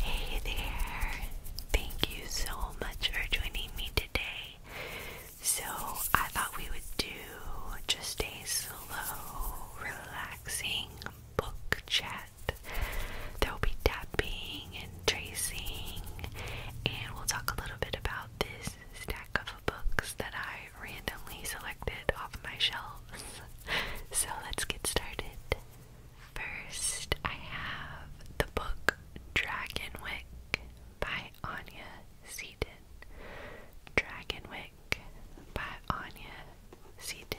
Hey there! Thank you so much for joining me today. So, I thought we would do just a slow, relaxing book chat. There will be tapping and tracing, and we'll talk a little bit about this stack of books that I randomly selected off my shelves. So, let's get started. First, I have the book Dragonwick by Anya Seaton. Dragonwick by Anya Seaton.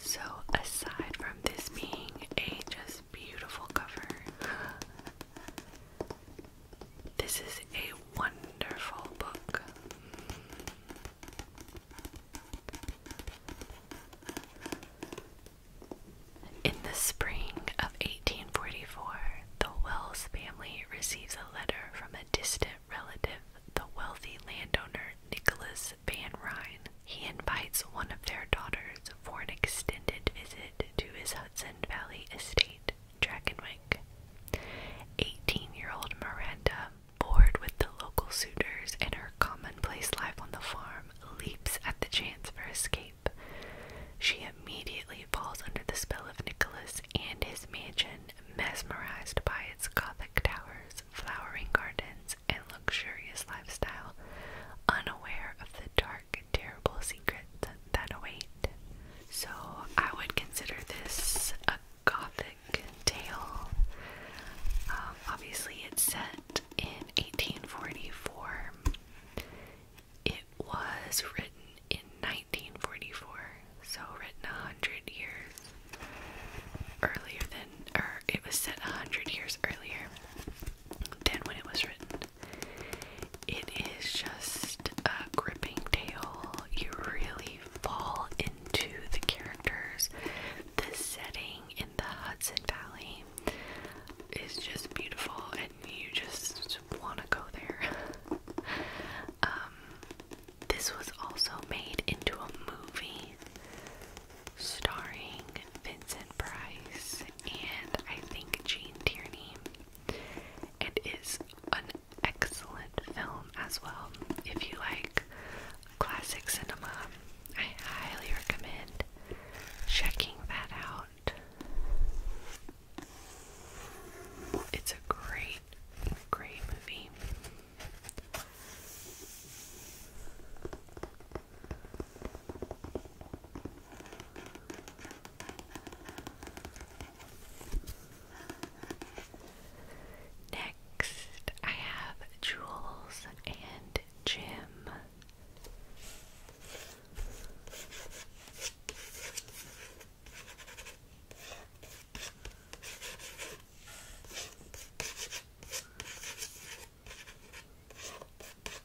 So, aside from this being a just beautiful cover. This is a wonderful book. In the spring of 1844, the Wells family receives a letter from a distant relative, the wealthy landowner Nicholas Van Ryn. He invites one of their daughters for an extended visit to his Hudson Valley estate, Drakenwijk. Eighteen year old Miranda, bored with the local suitors and her commonplace life on the farm, leaps at the chance for escape. She immediately falls under the spell of Nicholas and his mansion, mesmerized by its Gothic towers, flowering gardens, and luxurious lifestyle, unaware of the dark terrible secrets that await. So I would consider this a gothic tale. Um, obviously, it's set in 1844. It was written in 1944, so written a hundred years earlier than, or it was set a hundred years earlier than when it was written. It is just a gripping tale. You really fall into the characters. The setting in the Hudson Valley is just beautiful, and you just want to go there. um, this was also made into a movie starring Vincent Price and I think Jane Tierney. It is an excellent film as well. If you like classic cinema, I highly recommend checking that out. It's a great, great movie. Next, I have Jules and Jim.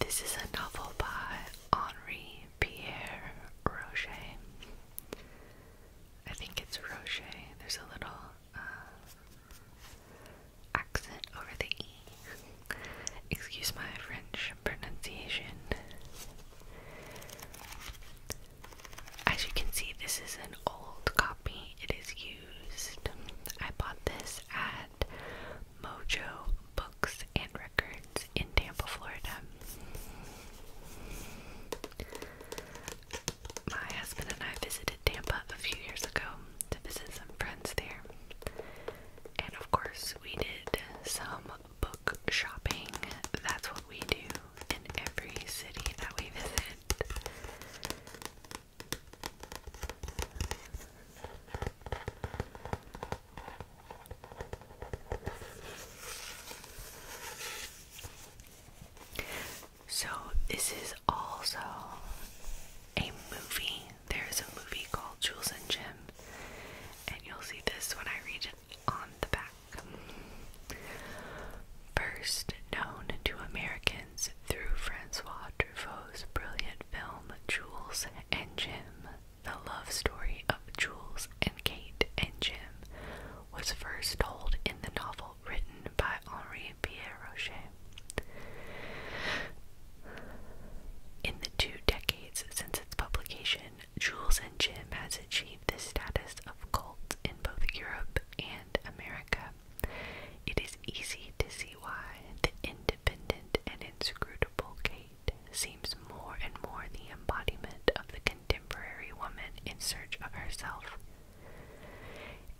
This is a novel by Henri Pierre Rocher. I think it's Rocher. There's a little uh, accent over the E. Excuse my French pronunciation. As you can see, this is an old copy. It is used. I bought this at Mojo Books and Records in Tampa, Florida my husband and I visited Tampa a few years ago to visit some friends there. And of course, we did some book shopping. That's what we do in every city that we visit. So, this is also a movie. There is a movie called Jules and Jim, and you'll see this when I read it on the back. First known to Americans through Francois Truffaut's brilliant film Jules and Jim, the love story of Jules and Kate and Jim was first told in the novel written by Henri Pierre Rocher. In the two decades since its publication, Jules and Jim has achieved the status of cult in both Europe and America. It is easy to see why the independent and inscrutable Kate seems more and more the embodiment of the contemporary woman in search of herself.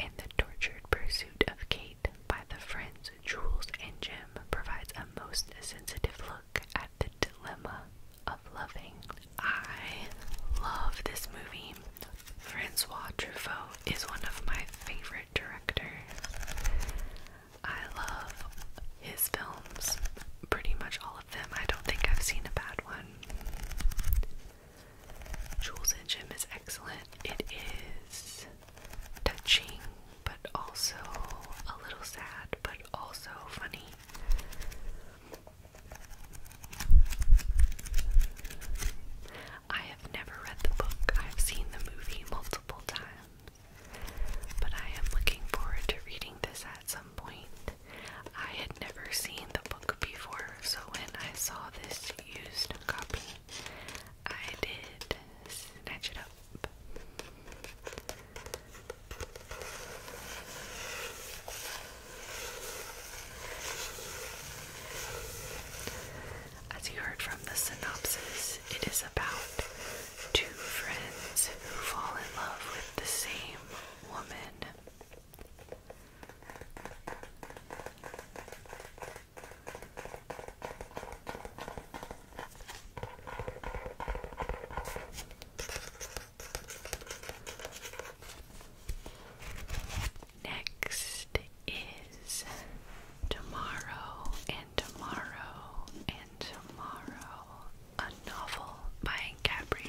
And the tortured pursuit of Kate by the friends Jules and Jim provides a most sensitive look at the dilemma of loving. I love this movie. Francois Truffaut is one of my favorite directors. I love his films, pretty much all of them. I don't think I've seen a bad one. Jules and Jim is excellent. It is touching, but also a little sad, but also funny. I have never read the book, I've seen the movie multiple times, but I am looking forward to reading this at some point. I had never seen the book before, so when I saw this used copy, I did snatch it up. As you heard from the synopsis, it is about two friends who fall in love with the same woman. Next is Tomorrow and Tomorrow and Tomorrow, a novel by Gabrielle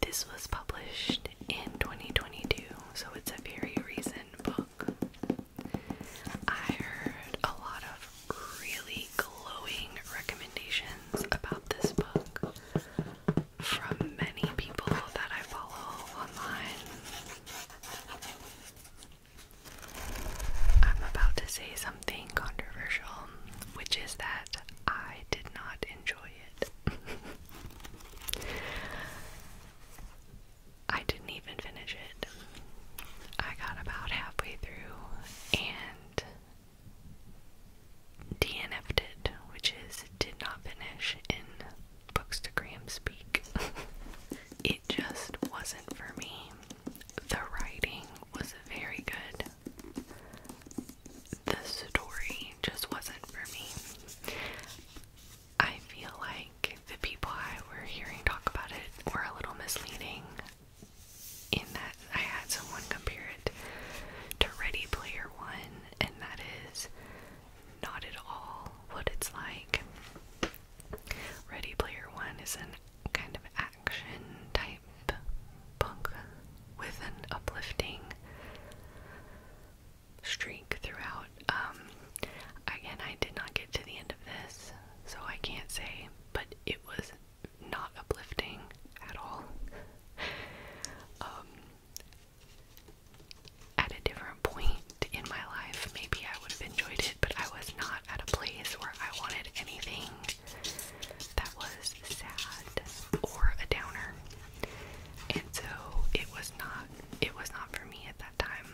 This was published in 2022, so it's a very recent book. I heard a lot of really glowing recommendations about this book from many people that I follow online. I'm about to say something controversial, which is that I did not enjoy it. I didn't even finish it. I got about halfway through and DNF'd which is did not finish in bookstagram speak. it just wasn't for me. The writing was very good. The story just wasn't for me. I feel like the people I were hearing talk about it were a little misleading in that I had someone compare it to Ready Player One, and that is not at all what it's like. Ready Player One is a kind of action type book with an uplifting streak throughout. Um, again, I did not get to the end of this, so I can't say, but it was not uplifting at all. Um, at a different point in my life, maybe I would have enjoyed it, but I was not at a place where I wanted anything that was sad or a downer. And so it was not it was not for me at that time.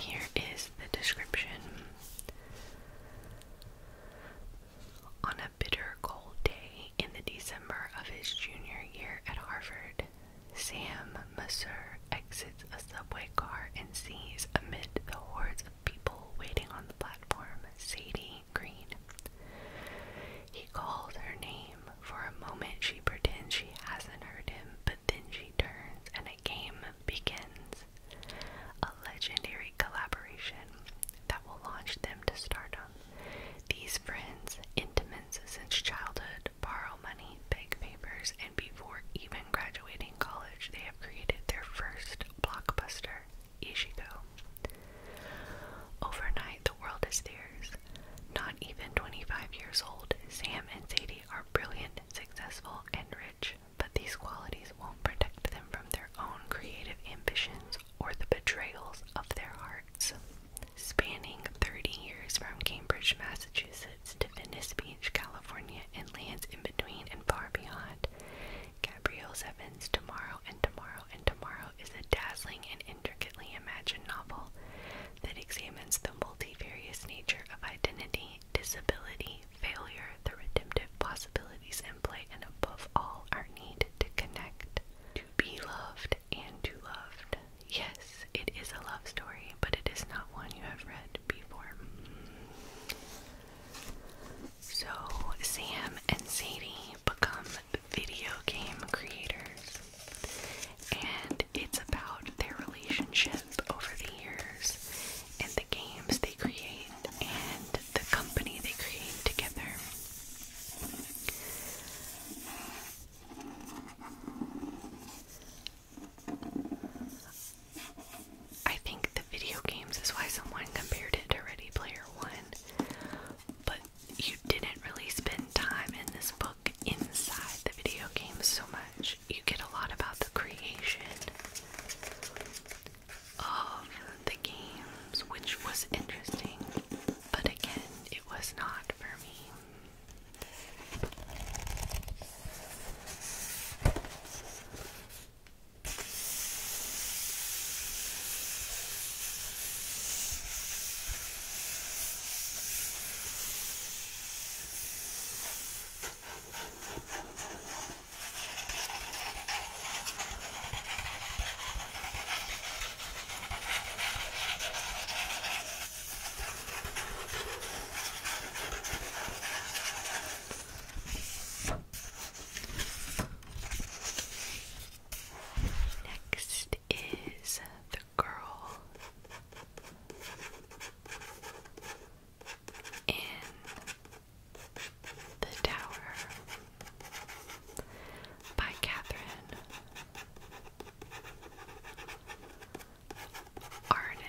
Here is the description. On a bitter cold day, in the December of his junior year at Harvard, Sam Messer exits a subway car and sees, amid the hordes of people waiting on the platform, Sadie Green. He calls her name. For a moment, she pretends she hasn't heard him, but then she turns and a game begins. A legendary collaboration that will launch them to stardom these friends, intimates since childhood, borrow money, beg papers, and before even graduating college, they have created their first blockbuster, Ishigo. Overnight, the world is theirs. Not even 25 years old, Sam and Sadie are brilliant, successful, and rich, but these qualities won't protect them from their own creative ambitions or the betrayals of their hearts spanning 30 years from Cambridge, Massachusetts to Venice Beach, California, and lands in between and far beyond. Gabrielle Seven's Tomorrow and Tomorrow and Tomorrow is a dazzling and intricately imagined novel that examines the multifarious nature of identity, disability, failure, the redemptive possibilities in play, and above all, our need to connect, to be loved, and to loved. Yes, it is a love story, but it is not one you have read before. So, Sam and Sadie become video game creators, and it's about their relationship over the years and the games they create and the company they create together. I think the video games is why someone compared it to Ready Player One, but you didn't really spend time in this book inside the video games so much. You get a lot about the creation of the games, which was interesting but again, it was not for me. Next is the girl in the tower by Catherine Arden.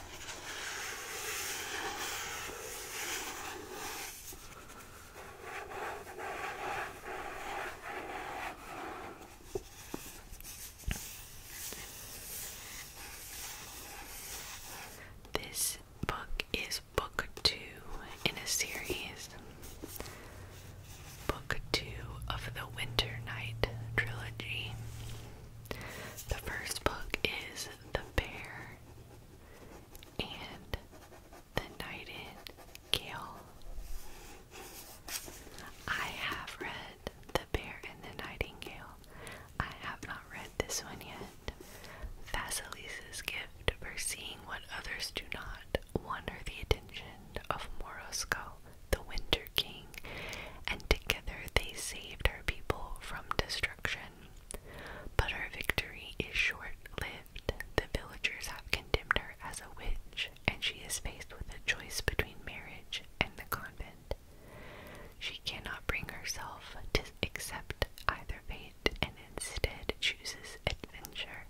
This book is book two in a series. Book two of the Winter Night trilogy. The first book is the bear and the nightingale. I have read The Bear and the Nightingale. I have not read this one yet. Vasilisa's gift for seeing what others do not won her the attention of Morosko, the Winter King, and together they saved her people from destruction. But her victory is short lived. The villagers have condemned her as a witch, and she is faced with a choice between marriage and the convent. She cannot bring herself to accept either fate and instead chooses adventure,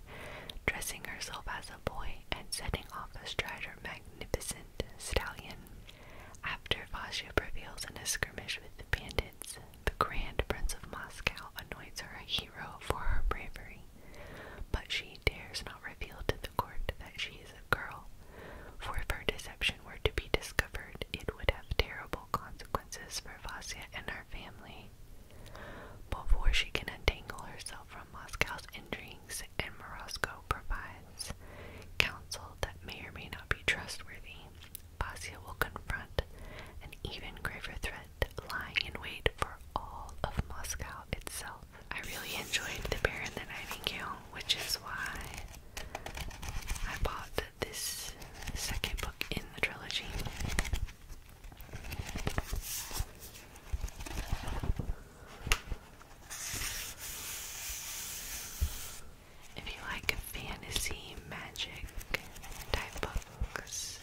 dressing herself as a boy and setting off astride her magnificent stallion. After Vasya prevails in a skirmish with the bandits, the Grand Prince of Moscow anoints her a hero for her bravery, but she dares not reveal to the court that she is a girl, for if her deception were to be discovered, it would have terrible consequences for Vasya and her family. Before she can untangle herself from Moscow's intrigues, and Morosco provides counsel that may or may not be trustworthy. Basia will confront an even graver threat lying in wait for all of Moscow itself. I really enjoyed The Bear and the Nightingale, which is why I bought this second book in the trilogy. If you like fantasy, magic type books,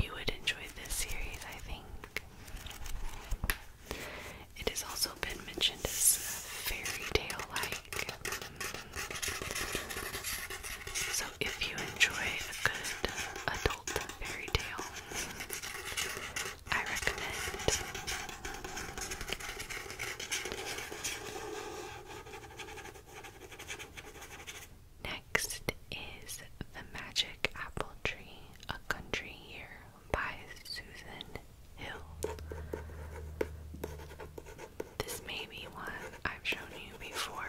you would enjoy this series, I think. It has also been mentioned as fairy tale like. So, if you enjoy a good adult fairy tale, I recommend. Next is The Magic Apple Tree, A Country Year by Susan Hill. This may be one I've shown you before.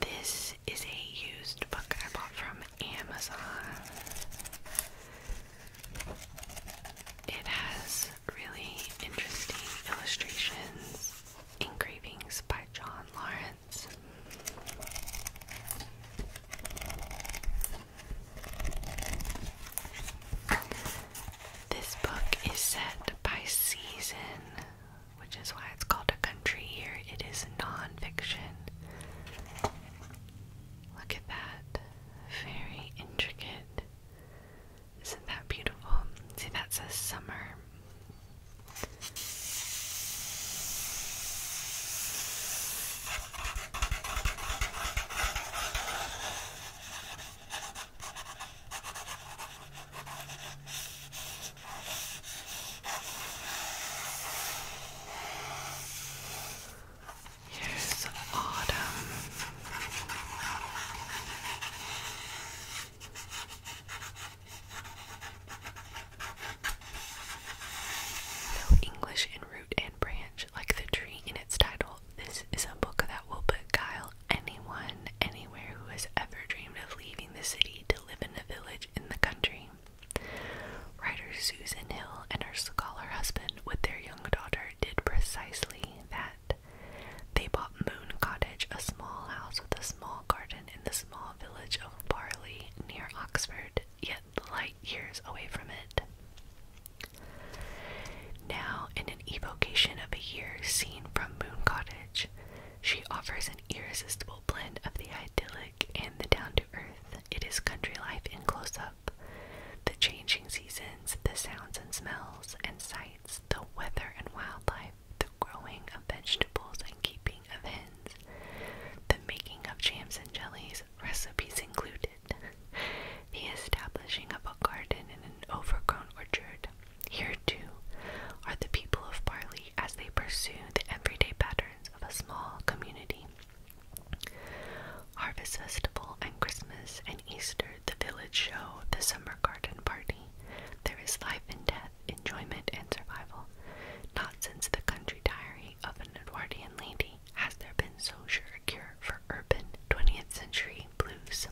This is a used book I bought from Amazon. It has really interesting illustrations Engravings by John Lawrence. This book is set by season, which is why it's called A Country Year. It is nonfiction. Look at that. Very intricate. Isn't that beautiful? See, that says summer. Here's autumn. Though English in root and branch, like the tree in its title, this is a book that will beguile anyone anywhere who has ever dreamed of leaving the city to live in a village in the country. Writer Susan Hill and her scholar husband with their young daughter did precisely that. They bought Moon Cottage, a small house with a small garden in the small village of Barley near Oxford, yet light years away from it. Now, in an evocation of a year seen from Moon Cottage, she offers an irresistible blend of the idyllic and the down to earth. It is country life in close up, the changing seasons, the sounds and smells and sights the weather and wildlife, the growing of vegetables and keeping of hens, the making of jams and jellies, recipes included, the establishing of a garden in an overgrown orchard. Here, too, are the people of Barley as they pursue the everyday patterns of a small community. Harvest Festival and Christmas and Easter the village show, the summer garden party. There is life and death, enjoyment and survival. Not since the country diary of an Edwardian lady has there been so sure a cure for urban 20th century blues.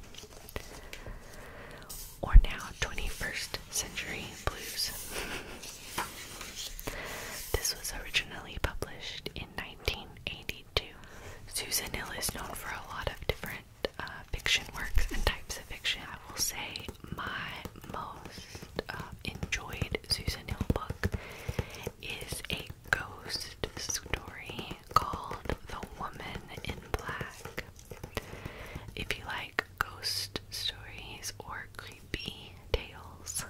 Or now 21st century blues. this was originally published in 1982. Susan Hill is known for a lot of different uh, fiction works and types of fiction. I will say my most uh, enjoyed Susan Hill book is a ghost story called The Woman in Black. If you like ghost stories or creepy tales,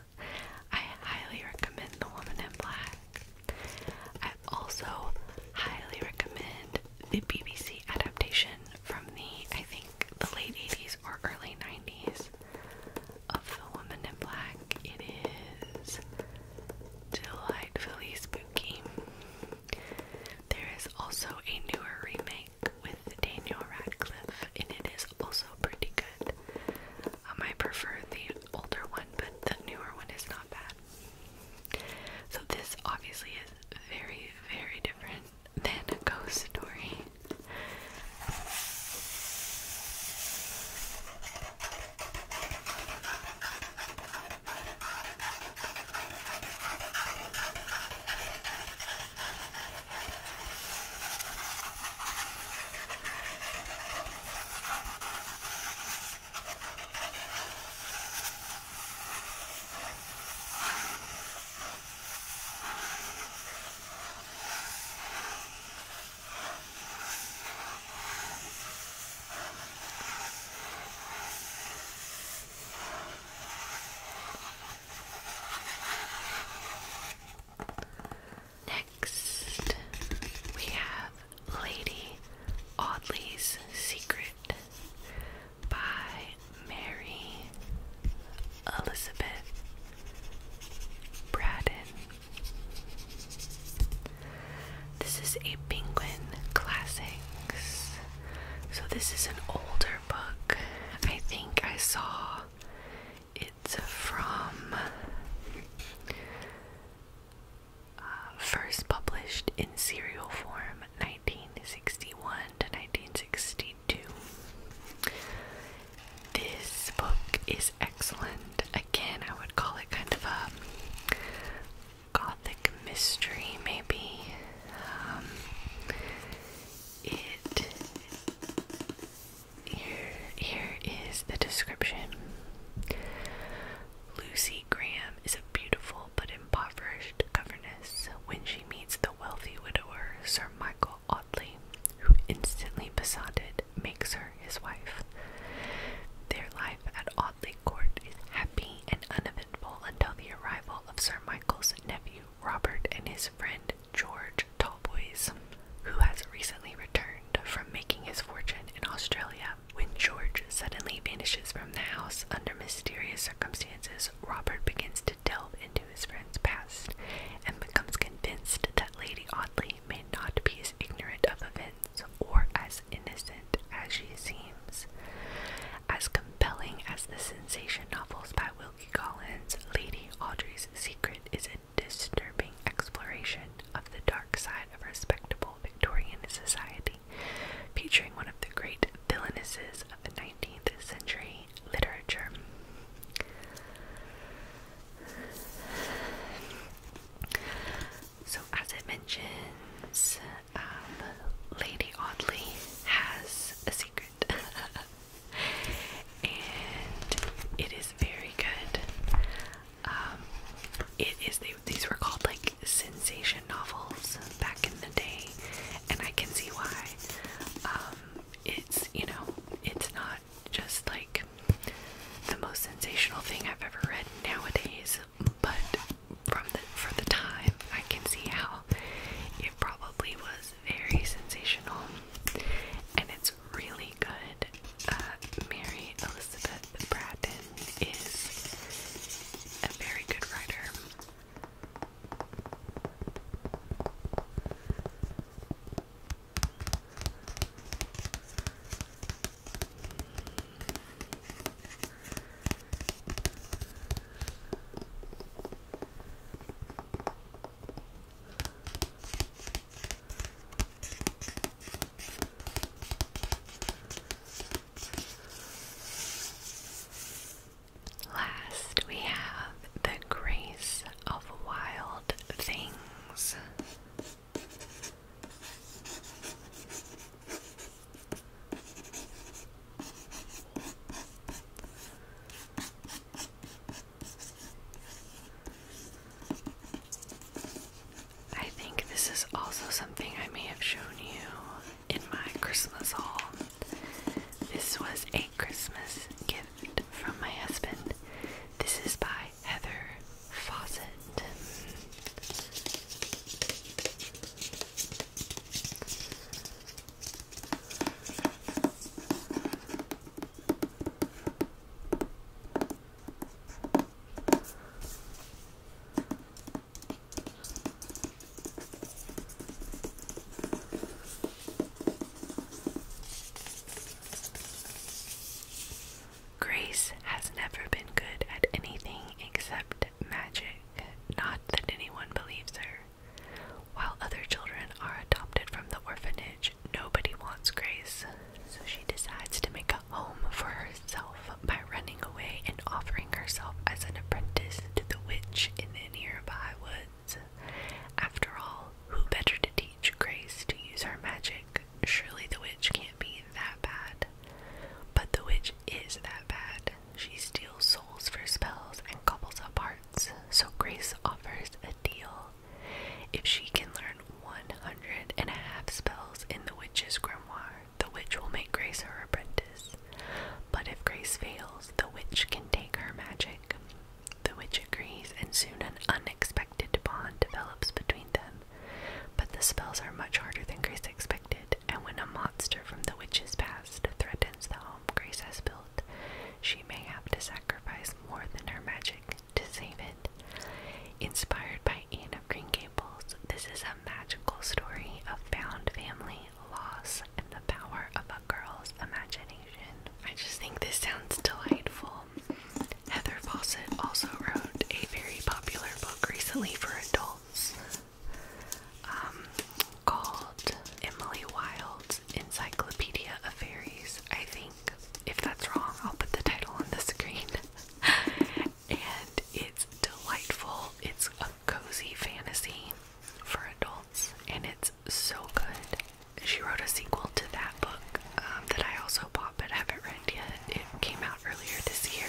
I highly recommend The Woman in Black. I also highly recommend the BBC adaptation from the, I think, the late 80s or early 90s of The Woman in Black. It is delightfully spooky. There is also a newer remake with Daniel Radcliffe, and it is also pretty good. Um, I prefer the older one, but the newer one is not bad. So this obviously is very, very different than a ghost story. Next, we have Lady Audley's Secret by Mary Elizabeth Braddon. This is a Penguin Classics. So, this is an older book. I think I saw it's from uh, first published in serial form 1961 to 1962. This book is excellent. Again, I would call it kind of a gothic mystery, maybe. Um, it here, here is the description. Lucy Graham is a beautiful but impoverished governess when she meets the wealthy widower Sir Michael Audley, who instantly besotted makes her his wife. Their life at Audley Court is happy and uneventful until the arrival of Sir Michael's nephew Robert and his friend George Tallboys, who has recently returned from making his fortune in Australia when George suddenly vanishes from the house under mysterious circumstances, Robert begins to delve into his friend's past and becomes convinced that Lady Audley may not be as ignorant of events or as innocent as she seems. As compelling as the sensation novels by Wilkie Collins, Lady Audrey's Secret is a disturbing exploration of the dark side of respectable Victorian society, featuring one of the great villainesses of the 19th century literature. So, as it mentions, um, Lady Audley has a secret, and it is very good. Um, it is these were called like sensation novels back in the day, and I can see why. Um, it's you know it's not just like the most sensational thing I've ever read nowadays, but from the for the time I can see how it probably was very sensational, and it's really really good. Uh, Mary Elizabeth Bratton is a very good writer. Last, we have the grace of wild things. I think this is also something I may have shown you in my Christmas haul. This was a Christmas gift from my husband. This is by Heather Fawcett. Grace has never been good at anything except magic. Not that anyone believes her. While other children are adopted from the orphanage, nobody wants Grace, so she decides to make a home for herself by running away and offering herself as an apprentice to the witch in the nearby woods. After all, who better to teach Grace to use her magic? Surely the witch can't be that bad. But the witch is that bad. She steals souls for spells and couples up hearts, so Grace offers a deal if she can learn one hundred and a half spells in the witch's grimoire, the witch will make Grace her apprentice. But if Grace fails, the witch can take her magic. The witch agrees, and soon an unexpected bond develops between them. But the spells are much harder than Grace expected, and when a monster from the witch's past threatens the home Grace has built, she may have to sacrifice more than her magic to save it. Inspired by Anne of Green Gables, this is a magical story of found family, loss, and the power of a girl's imagination. I just think this sounds delightful. Heather Fawcett also wrote a very popular book recently for adults um, called Emily Wild's Encyclopedia of Fairies. I think if that's wrong, I'll put the title on the screen. and it's delightful. It's a cozy fantasy for adults, and it's so good. She wrote a sequel to that book um, that I also bought but haven't read yet. It came out earlier this year.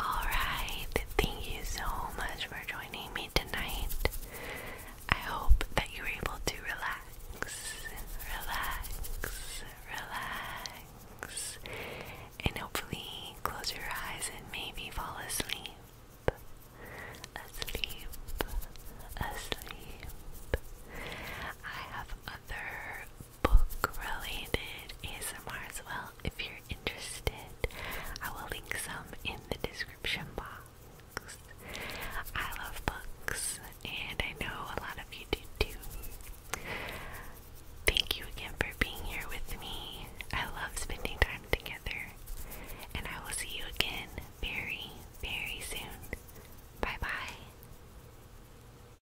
Alright, thank you so much for joining me tonight. I hope that you were able to relax, relax, relax, and hopefully close your eyes and maybe fall asleep. Asleep, asleep. I have other book related ASMR as well if you're interested. I will link some in the description box. I love books and I know a lot of you do too. Thank you again for being here with me. I love spending time together and I will see you again very, very soon. Bye bye.